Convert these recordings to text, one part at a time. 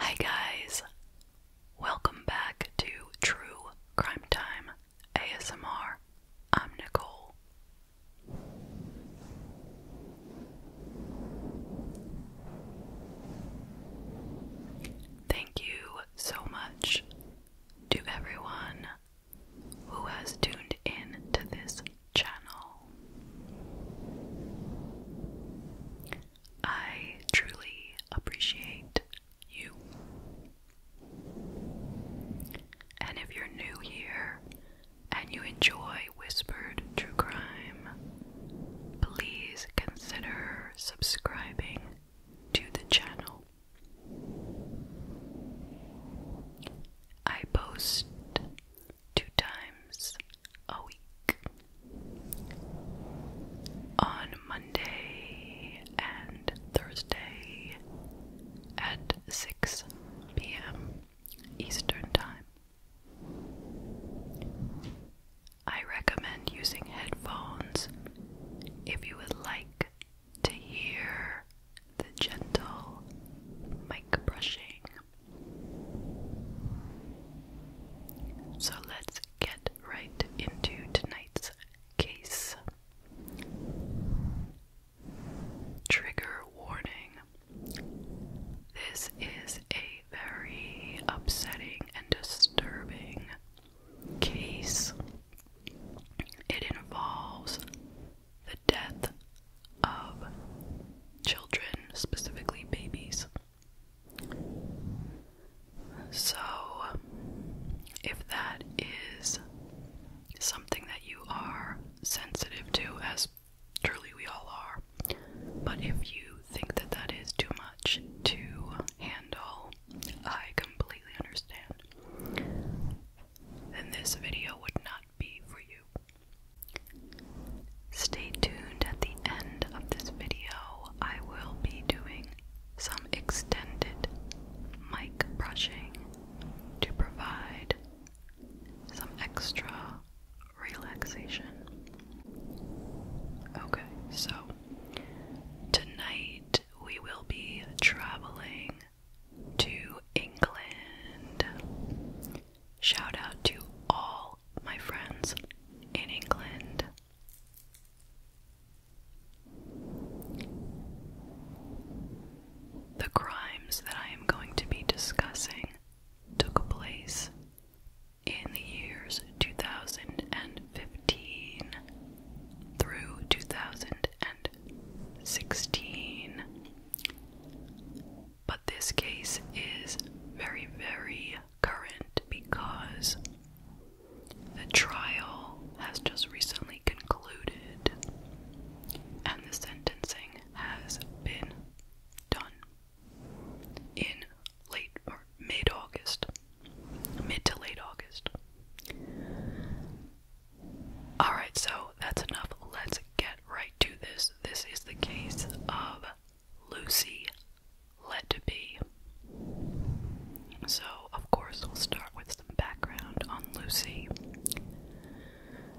Hi, guys. Welcome back to True Crime Time ASMR. I'm Nicole. Thank you so much to everyone who has tuned in to this channel. I truly appreciate you. And if you're new here and you enjoy Whispered True Crime, please consider subscribing to the channel. I post two times a week on Monday and Thursday at 6 p.m. Eastern Time. I recommend using headphones if you would like to hear the gentle mic brushing. So let's get right into tonight's case. Trigger warning. This is a very upsetting and disturbing case. It involves the death of children, specifically babies. So, if that is something that you are sensitive to, as truly we all are, but if you think that that is too much to handle, I completely understand, then this video would not be for you. Stay tuned at the end of this video. I will be doing some extended mic brushing to provide some extra relaxation. Okay, so tonight we will be traveling to England. Shout out to all my friends in England. The crimes that I am going to be discussing took place in the years 2015 through 2000. 16, But this case is very, very current because the trial has just recently concluded and the sentencing has been done in late or mid August mid to late August. Alright, so that's enough. Let's get right to this. This is the case of Lucy Letby. So, of course, we'll start with some background on Lucy.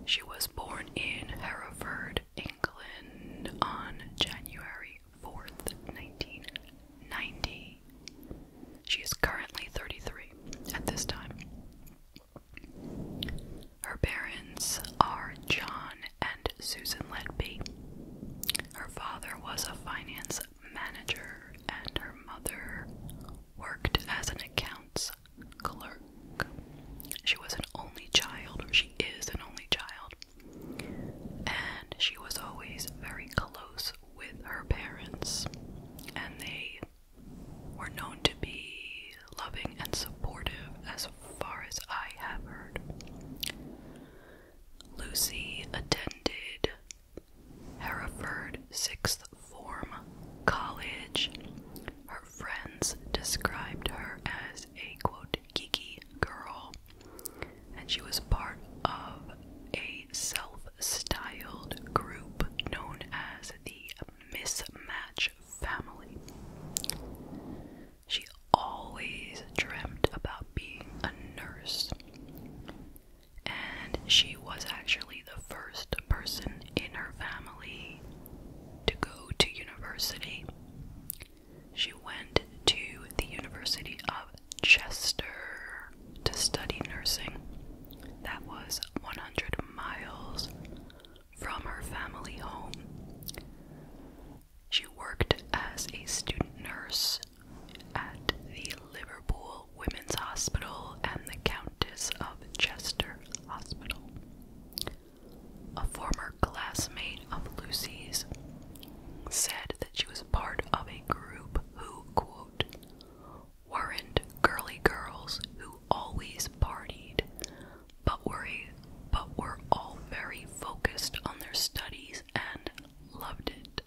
She was born in Hereford, England on January 4th, 1990. She is currently 33 at this time. Her parents are John and Susan Ledby. Her father was a finance manager, and her mother worked as an accounts clerk. She was an only child, she is an only child, and she was always very close with her parents, and they were known to be loving and supportive as far as I have heard. Lucy attended Hereford Sixth Form College. Her friends described her as a quote geeky girl, and she was part of a self-styled group known as the Mismatch Family. She always dreamed about being a nurse, and she was actually the first person in her family to go to university. She went to the University of Chester to study nursing. That was 100 miles from her family home. She worked as a student nurse at the Liverpool Women's Hospital and the Countess of Chester Hospital. A former classmate of Lucy's said that she was part of a group who, quote, weren't girly girls who always partied, but were, but were all very focused on their studies and loved it.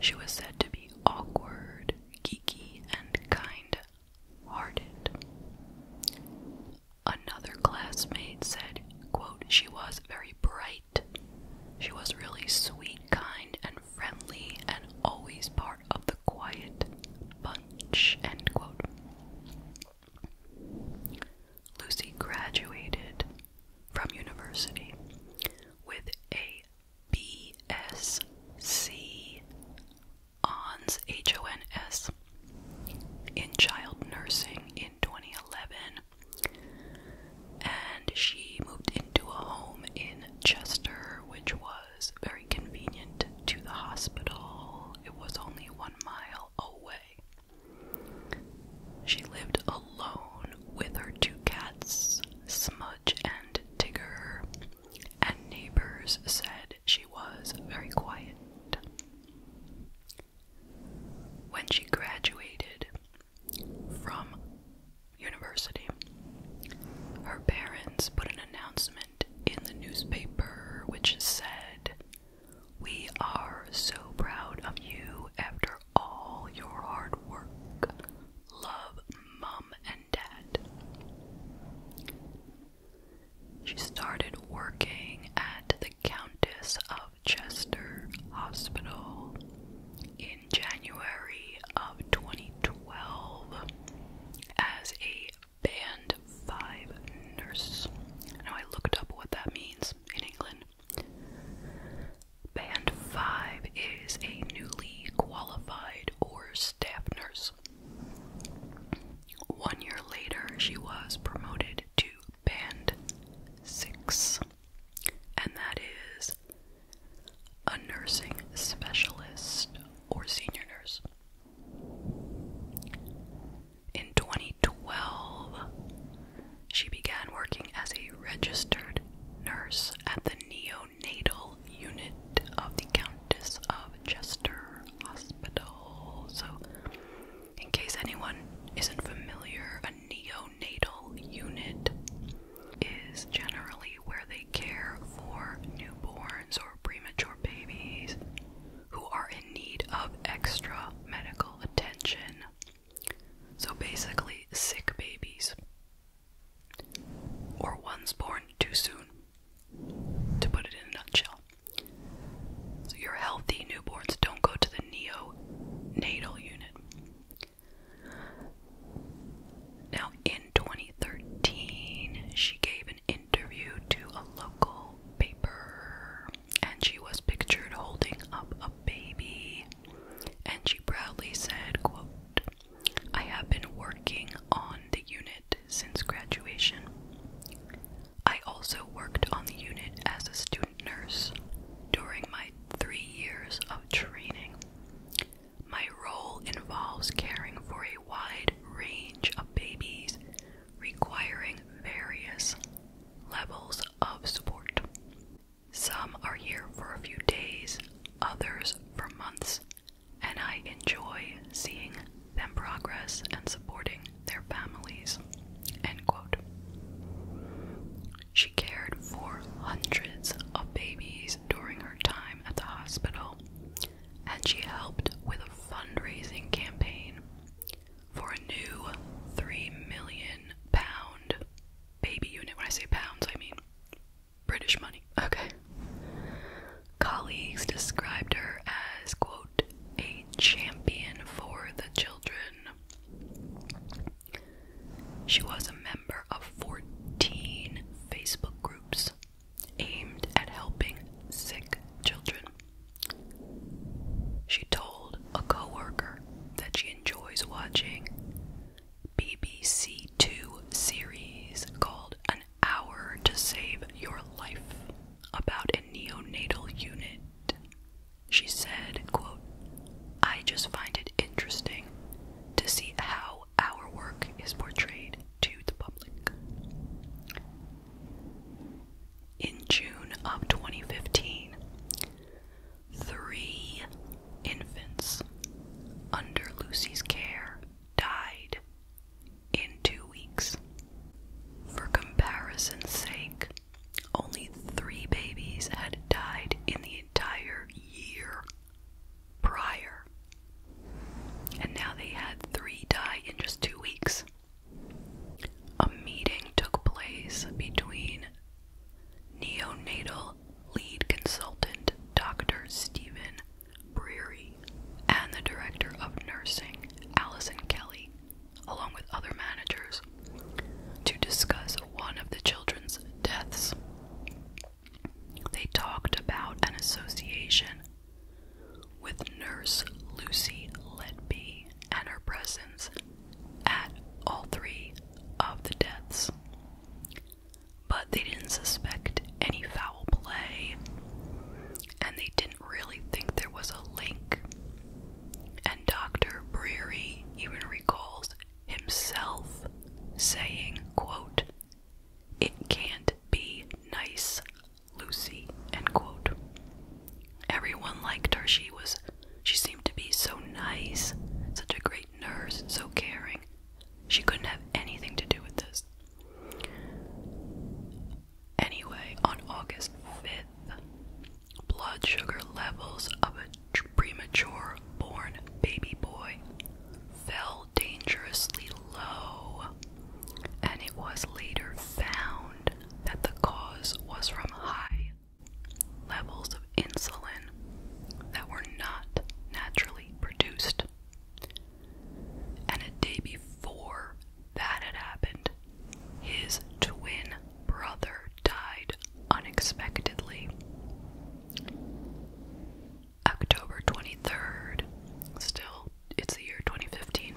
She was said to be awkward, geeky, and kind hearted. Another classmate said, quote, She was very bright. She was really sweet, kind, and friendly, and always part of the quiet bunch. End quote. Lucy graduated from university with a BSc ONS HONS in child nursing in 2011 and she moved into a home in Chester, which was very convenient to the hospital. It was only one mile away. She lived alone with her two cats, Smudge and Tigger, and neighbors said she was very quiet. When she graduated from University. Her parents put an announcement in the newspaper which said, We are so proud of you after all your hard work. Love mom and dad. She started working at the Countess of Chester Hospital in January of 2012 as a band 5 nurse. Now I looked up what that means in England. Band 5 is a newly qualified or staff nurse. One year later, she was promoted to Band 6, and that is a nursing specialist or senior nurse. In 2012, she began working as a registered nurse at the neonatal unit of the Countess of Chester Hospital. So, in case anyone isn't familiar, a neonatal unit is generally where they care for newborns or premature babies who are in need of extra medical attention. So basically, sick babies or ones born too soon, to put it in a nutshell. your healthy newborns don't go to the neonatal unit. Now, in 2013, she gave an interview to a local paper and she was pictured holding up a baby. And she proudly said, quote, I have been working on the unit since graduation. I also worked on the unit as a student nurse during my three years of training. My role involves caring for a wide range of babies, requiring various levels of support. Some are here for a few days, others for months, and I enjoy seeing them progress and supporting their families. She cared for hundreds of babies during her time at the hospital, and she helped with a fundraising campaign for a new three million pound baby unit. When I say pounds, I mean British money. Okay. Colleagues described her as, quote, a champion for the children. She was a member of 14 Facebook groups aimed at helping sick children. She told a coworker that she enjoys watching BBC Two series called An Hour to Save Your Life about a neonatal unit. She said, I just find it interesting to see how our work is portrayed to the public. In June of 2015, three infants under Lucy's care died in two weeks. For comparison's sake, only three babies had died in the entire year prior. And now they had three die in just two weeks. A meeting took place between neonatal lead consultant Dr. Stephen Breary and the director of nursing, Allison Kelly, along with other managers, to discuss one of the children's deaths. They talked about an association with Nurse Lucy Letby and her presence at all three of the deaths. But they didn't suspect any foul play, and they didn't really think there was a link. And Dr. Breary even recalls himself saying, quote, it can't be nice, Lucy, Everyone liked her. She was she seemed to be so nice, such a great nurse, so caring. She couldn't have anything to do with this. Anyway, on August 5th, blood sugar levels of a premature born baby boy fell dangerously low, and it was later found that the cause was from high levels of insulin that were not naturally produced. And a day before that had happened, his twin brother died unexpectedly. October 23rd. Still, it's the year 2015.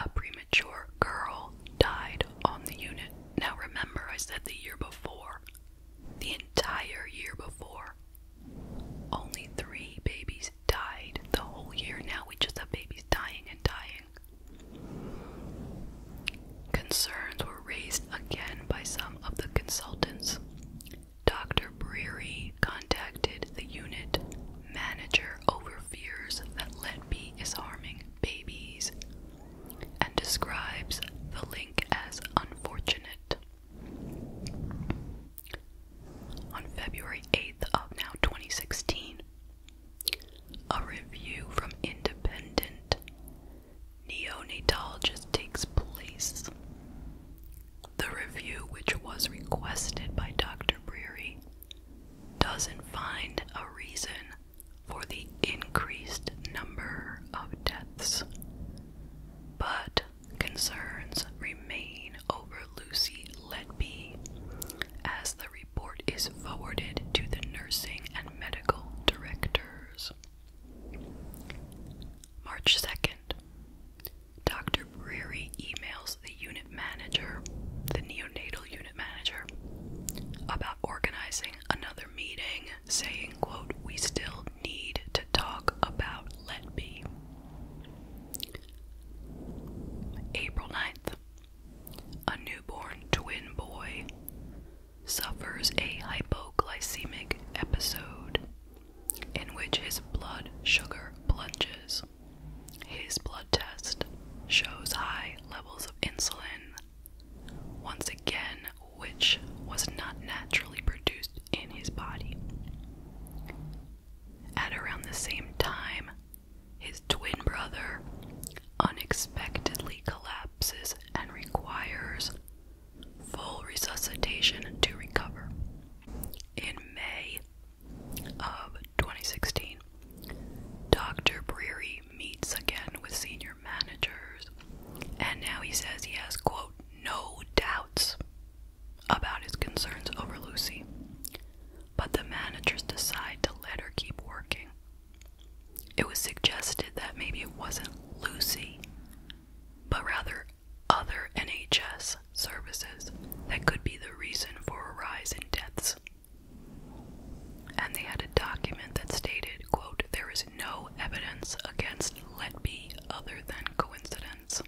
A premature girl died on the unit. Now remember, I said the year before. The entire year before. Only three babies died the whole year. Now we just have babies dying and dying. Concerns were raised again by some of the consultants. Dr. Breary contacted the unit manager over fears that B is harming babies and describes the link as unfortunate. On February 8th of now 2016, a review from independent Neonatal just takes place. The review, which was requested by Dr. Breary, doesn't find a reason for the increased number of deaths, but concerns remain over Lucy Letby as the report is forwarded to the nursing and medical directors. March 2nd. Dr. Breary emails the unit manager, the neonatal unit manager, about organizing another meeting, saying, quote, we still need to talk about Let Be. April 9th, a newborn twin boy suffers a hypoglycemic episode in which his blood sugar plunges. His blood test shows high levels of insulin, once again, which was not naturally produced in his body. At around the same time, his twin brother unexpectedly collapses and requires full resuscitation to recover. In May of 2016, Dr. Breary meets again with senior managers, and now he says he has, quote, no doubts about his concerns over Lucy, but the managers decide to let her keep working. It was suggested that maybe it wasn't Lucy, but rather other NHS services that could be the reason for a rise in deaths. And they had a document that stated, quote, there is no evidence against Letby other than coincidence.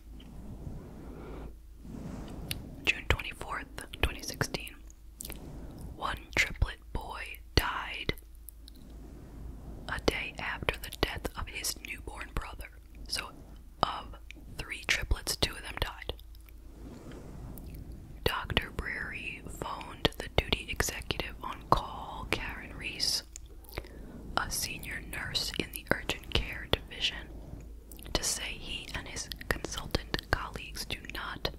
June 24th, 2016. One triplet boy died a day after the death of his newborn brother. So, of three triplets, two of them died. Dr. Breary phoned the duty executive on call, Karen Reese, a senior nurse in the urgent care division, to say he and his consultant colleagues do not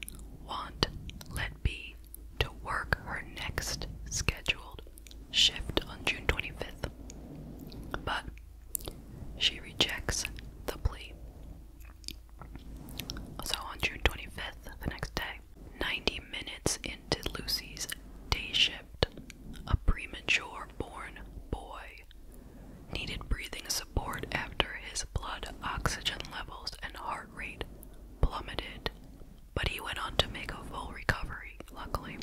want Let B to work her next scheduled shift on June 25th, but she rejects the plea. So on June 25th, the next day, 90 minutes into Lucy's day shift, a premature born boy needed breathing support after his blood oxygen levels and heart rate plummeted, but he went on to make a full recovery, luckily.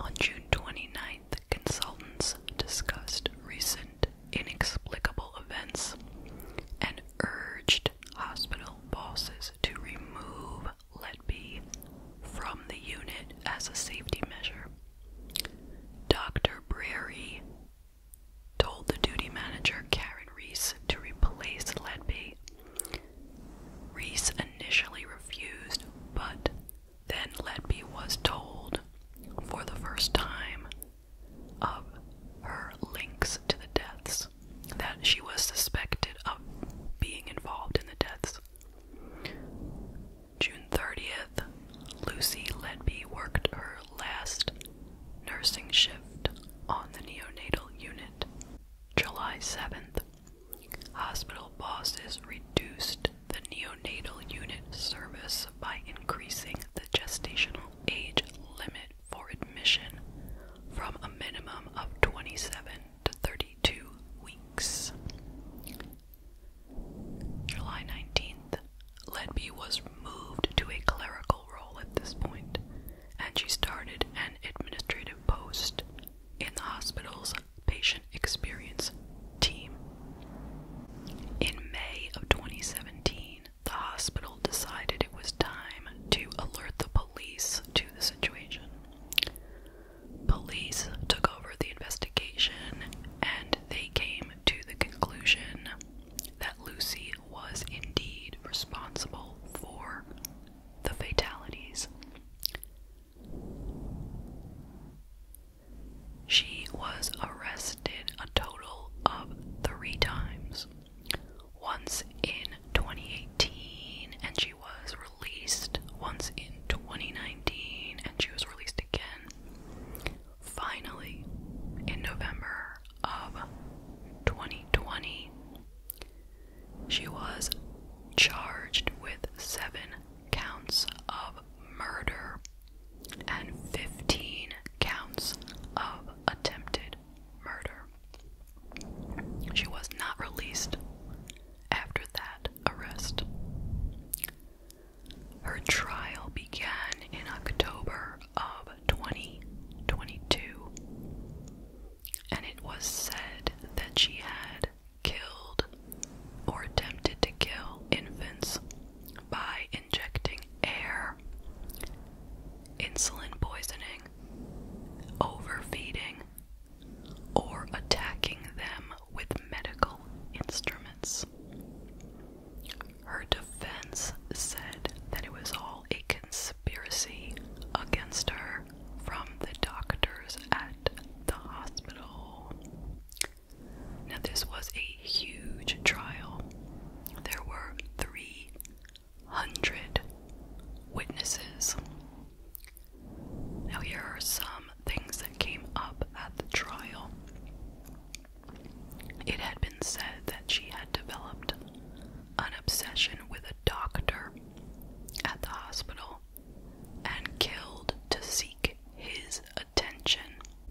On June 29th, consultants discussed recent inexplicable events and urged hospital bosses to remove Letby from the unit as a safety measure. Dr. Brary told the duty manager Karen Reese to replace Letby Reese initially refused, but then Letby was told for the first time of her links to the deaths, that she was suspected of being involved in the deaths. June 30th, Lucy Letby worked her last nursing shift on the neonatal unit. July 7th, Hospital bosses reduced the neonatal unit service by increasing the gestational age limit for admission from a minimum of 27 to 32 weeks. July 19th, Ledby was moved to a clerical role at this point, and she started an administrative post in the hospital's patient experience team. In May of 2017, the hospital decided it was time to alert the police to the situation. Police took over the investigation and they came to the conclusion that Lucy was indeed responsible for the fatalities. She was arrested a total of three times. Once in 2018, and she was released. Once in 2019, and she was released again. Finally, in November of 2020, she was charged with seven counts of murder and 15 counts of attempted murder. She was not released after that arrest. Her trial began in October of 2022, and it was said that she had killed or attempted to kill infants by injecting air, insulin poisoning, overfeeding, or attacking them with medical instruments. Her defense said that it was all a conspiracy against her from the doctors at the hospital. Now, this was a huge trial. There were 300 witnesses. Now, here are some things that came up at the trial. It had been said that she had developed an obsession with a doctor at the hospital and killed to seek his attention.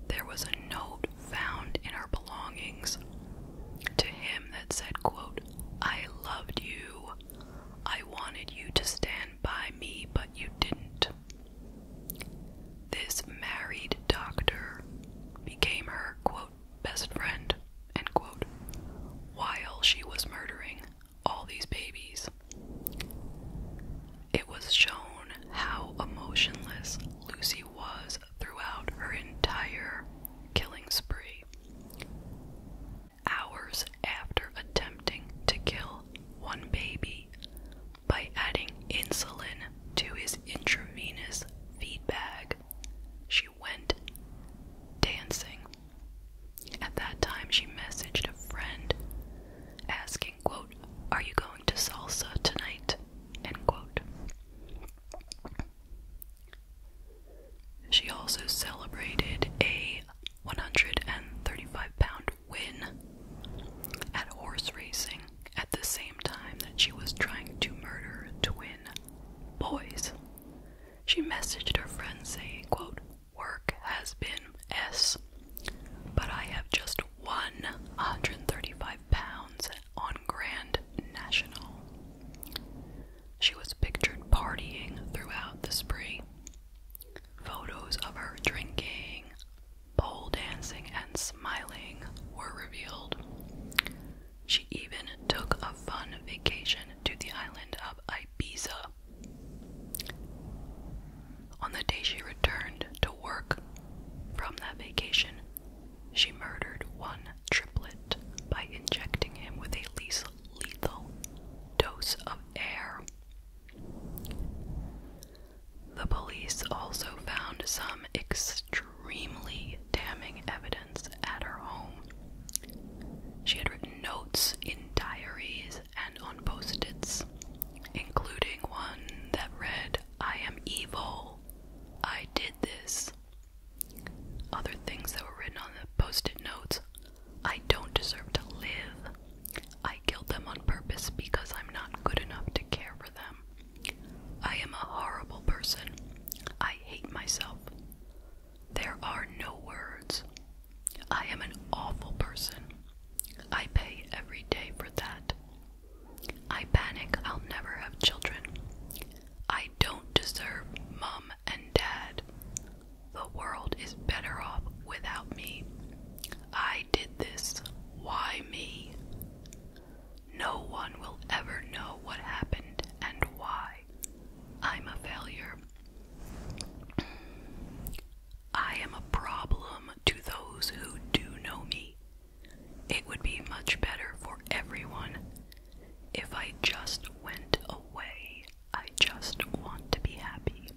There was a note found in her belongings to him that said, quote, I loved you. I wanted you to stand by me, but you didn't. This married doctor became her, quote, best friend, end quote, while she was murdering all these babies. It was shown how emotionless Lucy was throughout her entire killing spree. Hours after attempting to kill one baby by adding insulin to his intravenous feed bag, she went dancing at that time, she messaged a friend asking, quote, Are you going to salsa tonight? End quote. She also celebrated a 135 pound win at horse racing at the same time that she was trying to murder twin boys. She messaged her friend saying, quote, work has been S, but I have just won 135 pounds on Grand National. She was pictured partying throughout the spree. Photos of her drinking, pole dancing, and smiling were revealed. She even took a fun vacation to the island of Ibiza on the day she returned to work from that vacation, she murdered one triplet by injecting him with a lethal dose of air. The police also found some extremely damning evidence at her home. She had written notes in diaries and on post its including one that read, I am evil, I did this. Other things that were written on the post it notes, I don't deserve to live, I killed them on purpose because I'm not good enough to care for them, I am a horrible person, I hate myself. There are no words, I am an awful person. I pay every day for that. I panic I'll never have children. I don't deserve mom and dad. The world is better off without me. I did this. Why me? No one will ever know what happened and why. I'm a failure. I am a problem to those who do know me. It would be much better for everyone if I just went away. I just want to be happy.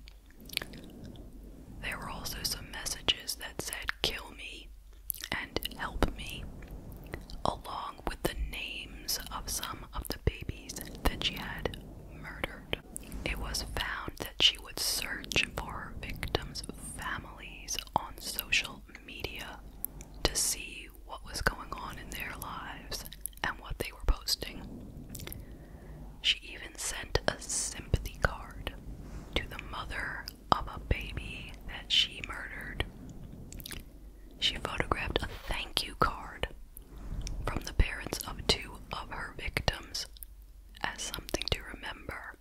There were also some messages that said, Kill me and help me, along with the names of some of the babies that she had murdered. It was found that she would search for her victims' families on social media to see what was going on in their lives and what they were posting. She even sent a sympathy card to the mother of a baby that she murdered. She photographed a thank you card from the parents of two of her victims as something to remember.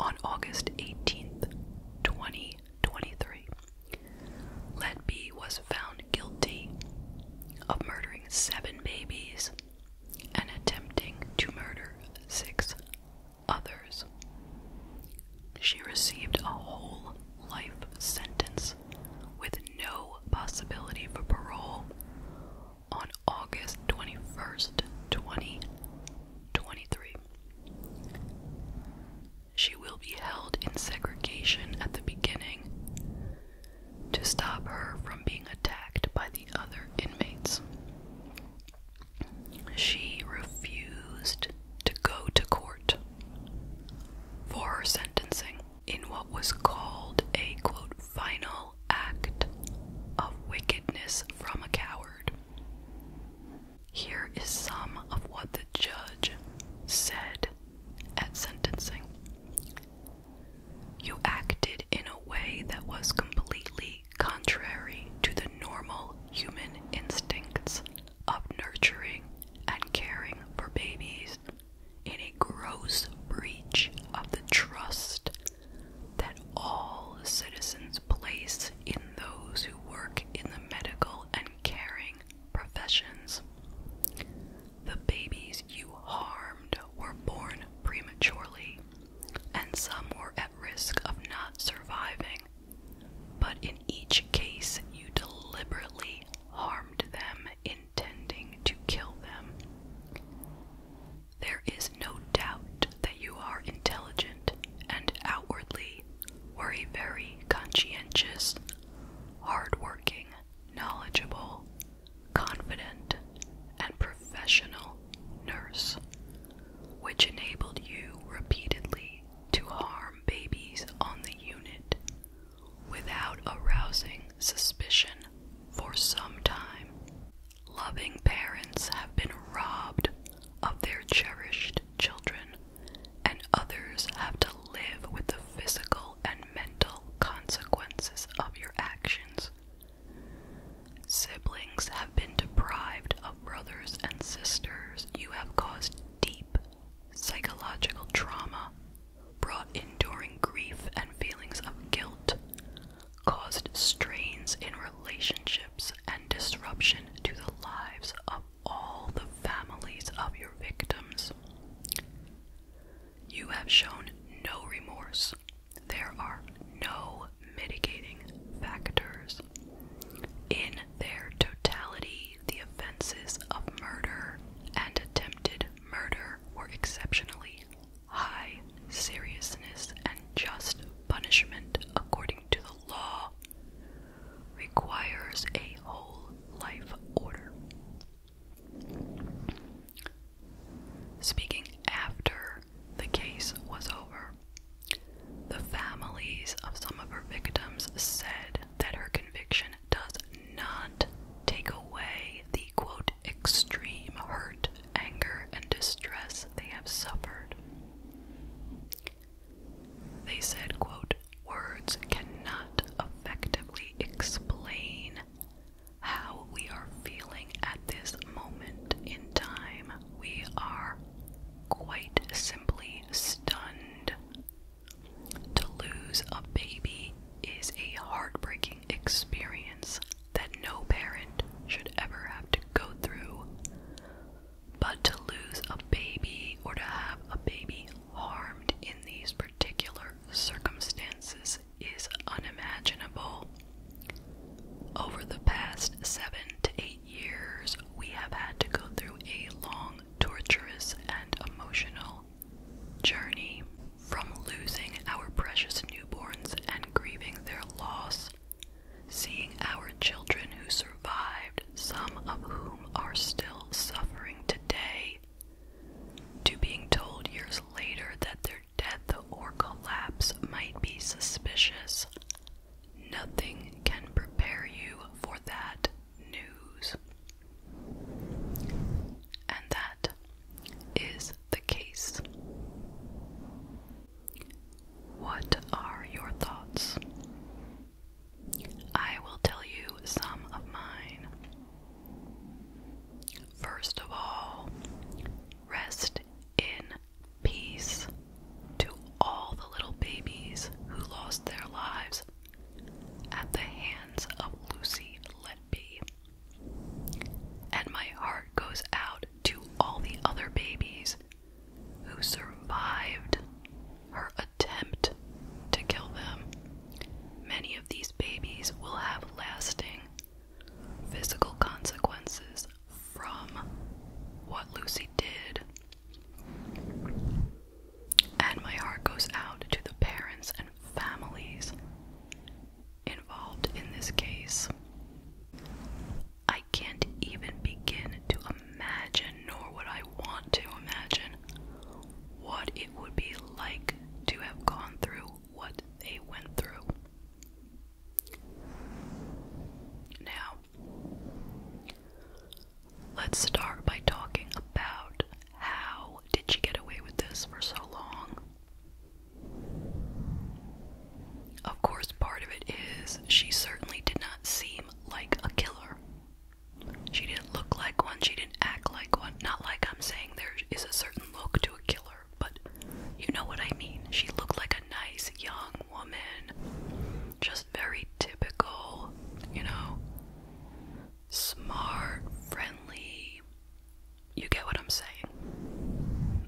On August 18th, 2023, Letby was found guilty of murdering seven babies and attempting to murder six others. She received a whole life sentence with no possibility for parole on August 21st, 2023. She will be held in segregation at the beginning to stop her from being attacked by the other inmates. She refused to go to court for her sentencing in what was called a quote final act of wickedness from a coward. Here is some of what the judge said at sentencing. You acted in a way that was completely contrary to the normal human instincts of nurturing and caring for babies in a gross breach of the trust that all citizens place in those who work in the medical and caring professions. The babies you harmed were born prematurely, and some were at risk of not surviving. But in each case, you deliberately harmed them in intending to kill them. There is no doubt that you are intelligent and outwardly were a very conscientious, hard-working, knowledgeable, confident, and professional nurse, which enabled you repeatedly to harm babies on the unit without arousing suspicion for some time. Loving parents have been robbed of their cherished children, and others have to live with the physical and mental consequences of your actions. Siblings have been deprived of brothers and sisters you have caused deep Psychological trauma brought enduring grief and feelings of guilt, caused strains in relationships and disruption to the lives of all the families of your victims. You have shown no remorse. There are no mitigating factors. In their totality, the offenses of murder and attempted murder were exceptionally high seriousness and just punishment according to the law requires a whole life order. Speaking after the case was over, the families of some of her victims said that her conviction does not take away the quote extreme hurt, anger, and distress they have suffered. They said, quote, words cannot effectively explain how we are feeling at this moment in time. We are quite simply stunned. To lose a baby is a heartbreaking experience that no parent should ever have to go through. But to lose a baby or to have a baby harmed in these particular circumstances is unimaginable. Over the past seven to eight years, we have had to go through a long, torturous, and emotional journey from losing our precious newborns and grieving their loss, seeing our children who survived, some of whom are still suffering today, to being told years later that their death or collapse might be suspicious. Nothing can prepare you for that news. And that is the case. What are your thoughts? I will tell you some of mine. First of all, rest in peace to all the little babies who lost their lives at the hands of Lucy that And my heart goes out to all the other babies who survived her attempt to kill them. Many of these babies will have lasting physical consequences from what Lucy did. And my heart goes out to the parents and families involved in this case. I can't even begin to imagine, nor would I want to imagine, what it would be like to have gone through what they went through. Now, let's start by talking about how did she get away with this for so long? Of course, part of it is she certainly did not seem like a killer. She didn't look like one, she didn't act like one. Not like I'm saying there is a certain look to a killer, but you know what I mean. She looked like a nice young woman, just very typical, you know smart, friendly. You get what I'm saying?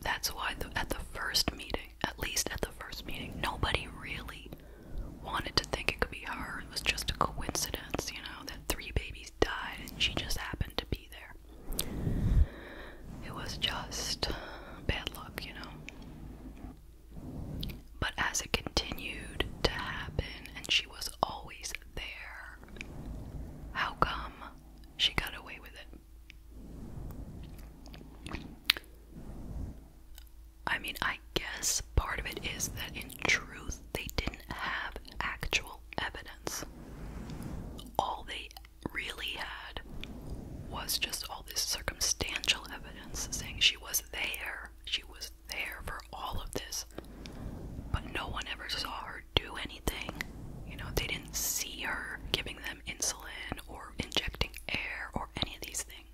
That's why at the first meeting, at least at the first meeting, nobody really wanted to think it could be her. It was just a coincidence, you know, that three babies died and she just happened to be there. It was just bad luck, you know. But as it continued to happen, and she was always there, how come she got away with it? I mean, I guess part of it is that in truth, they didn't have actual evidence. All they really had was just all this circumstantial evidence saying she was there. She was there for all of this but no one ever saw her do anything. You know, they didn't see her giving them insulin or injecting air or any of these things.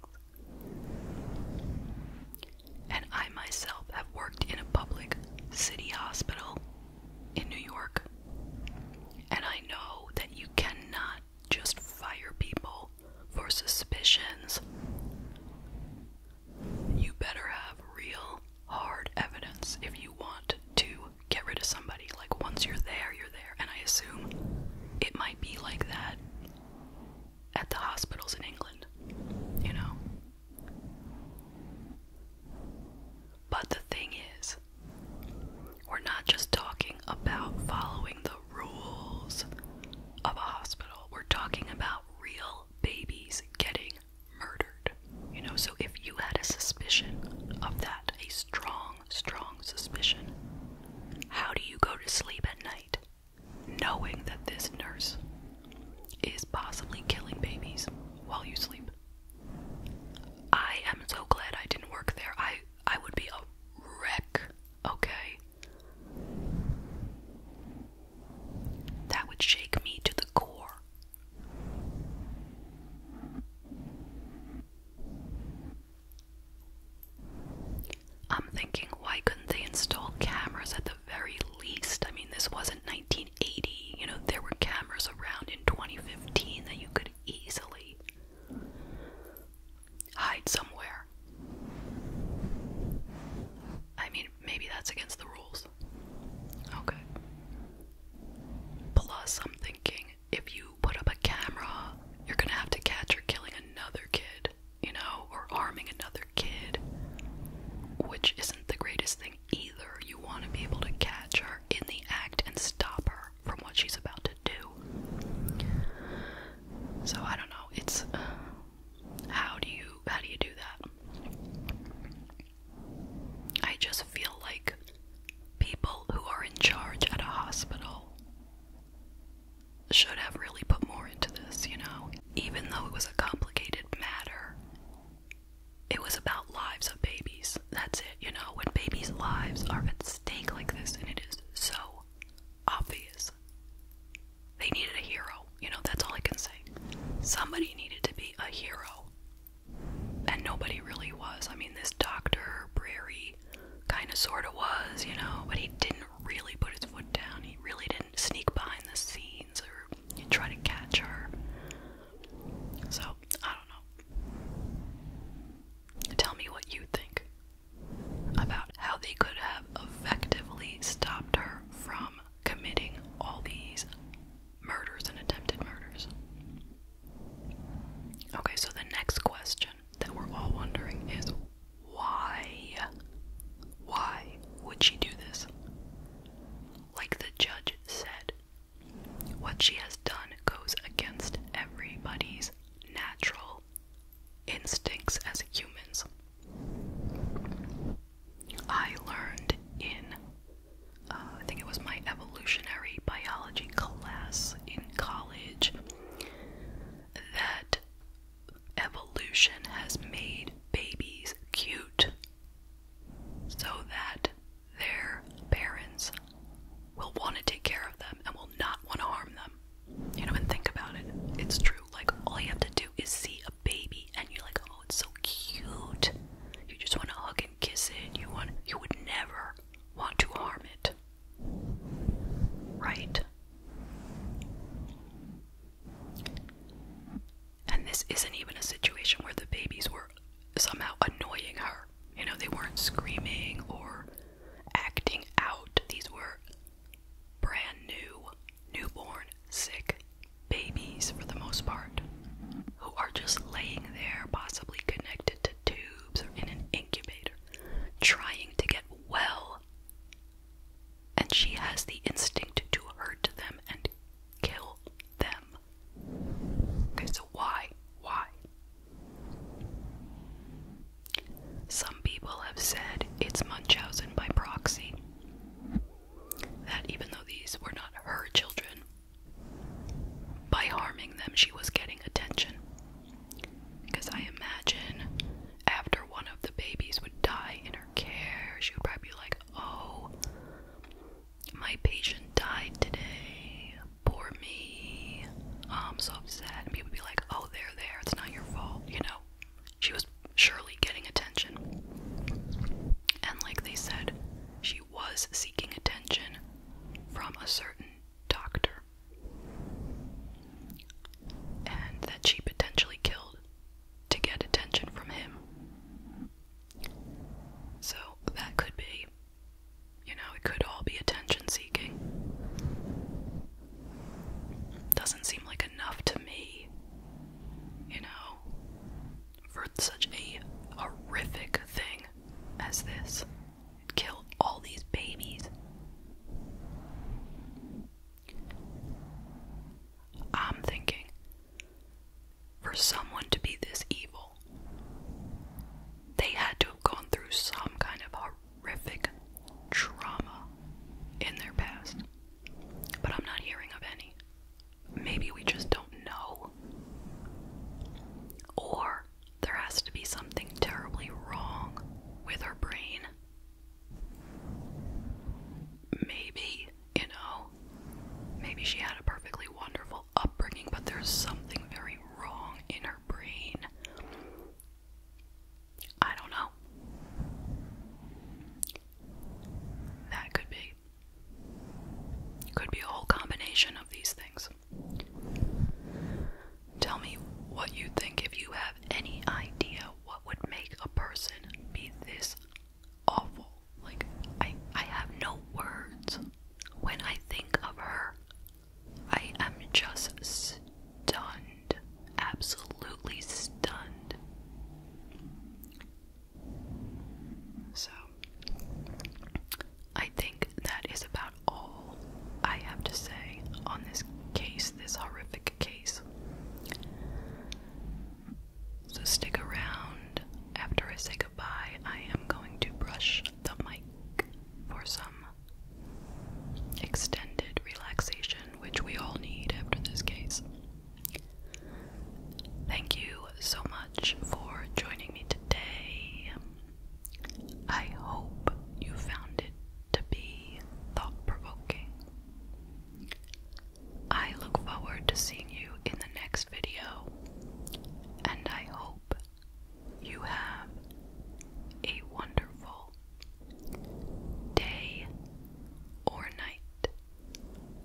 And I myself have worked in a public city hospital in New York. And I know that you cannot just fire people for suspicions you better have real hard evidence if you want to get rid of somebody. Like, once you're there, you're there. And I assume it might be like that at the hospitals in England, you know? But the thing is, we're not just talking about following the rules of a hospital, we're talking about real babies getting murdered. You know, so if you had a suspicion of that, a strong, strong suspicion, how do you go to sleep at night knowing that this nurse is possibly killing babies while you sleep? I am so glad I didn't work there. I I would be a wreck, okay? That would shake me to the core. I'm thinking, why couldn't they install cameras at the very least? I mean, this wasn't 1980. You know, there were cameras around in 2015 that you could easily hide somewhere. I mean, maybe that's against the rules. Okay. Plus, I'm thinking if you put up a camera, you're gonna have to catch her killing another kid, you know, or arming another kid, which isn't the greatest thing either. You want to be able to catch her in the act and stop her from what she's about to do. So I don't know. It's uh, how do you how do you do that? I just feel like people who are in charge at a hospital should have really put more into this, you know? Even though it was a complicated matter, it was about lives of babies. That's it, you know? When babies' lives are at stake like this, and it is so obvious, they needed a hero. You know, that's all I can say. Somebody needed to be a hero and nobody really was. I mean, this Dr. Brary kind of sort of was, you know, but he didn't really put his foot down. He really didn't sneak behind the scenes or try to catch her. So, I don't know. Tell me what you think about how they could have effectively stopped her from committing all these murders and attempted murders. Okay, so the next question that we're all wondering is why? Why would she do this? Like the judge said, what she has done goes against everybody's natural instincts as humans. I learned in, uh, I think it was my evolutionary biology class in college, that evolution has made babies cute so that their parents will want to take care of them and will not want to harm them. You know, and think about it. It's true. Like, all you have to do is see a baby and you're like, Oh, it's so cute. You just want to hug and kiss it. You want you would never want to harm it. Right? And this isn't even a situation where the babies were somehow annoying her. You know, they weren't screaming or acting out. These were brand new, newborn, sick babies for the most part, who are just laying there, possibly connected to tubes or in an incubator, trying to get well. And she has the instinct to hurt them and kill them. Okay, so why? Why? Some people have said it's Munchausen by proxy. That even though these were not her children, by harming them, she was getting attention. Because I imagine after one of the babies would die in her care, she would probably be like, Oh, my patient died today. Poor me. Oh, I'm so upset. And people would be like, Oh, they're there. It's not your fault. You know, she was surely getting attention. And like they said, she was seeking attention from a certain doctor and that she potentially killed to get attention from him. So that could be, you know, it could all be attention seeking. Doesn't seem like enough to me, you know, for such a horrific thing as this. Kill all these babies. I'm thinking for someone to be this evil, they had to have gone through some kind of horrific trauma in their past. But I'm not hearing of any maybe we just don't know. Or there has to be something terribly wrong with our brain. Maybe, you know, maybe she had a perfectly wonderful upbringing, but there's something very wrong in her brain. I don't know. That could be. It Could be a whole combination of these things. Tell me what you think if you have any idea what would make a person be this awful. Like I I have no words when I think of her. I am just stunned. Absolutely stunned. So, I think that is about all I have to say on this case, this horrific case. So, stick around. After I say goodbye, I am going to brush the mic for some extended relaxation, which we all need after this case. Thank you so much for joining me today. I hope you found it to be thought provoking. I look forward to seeing you in the next video, and I hope you have a wonderful day or night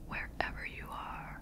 wherever you are.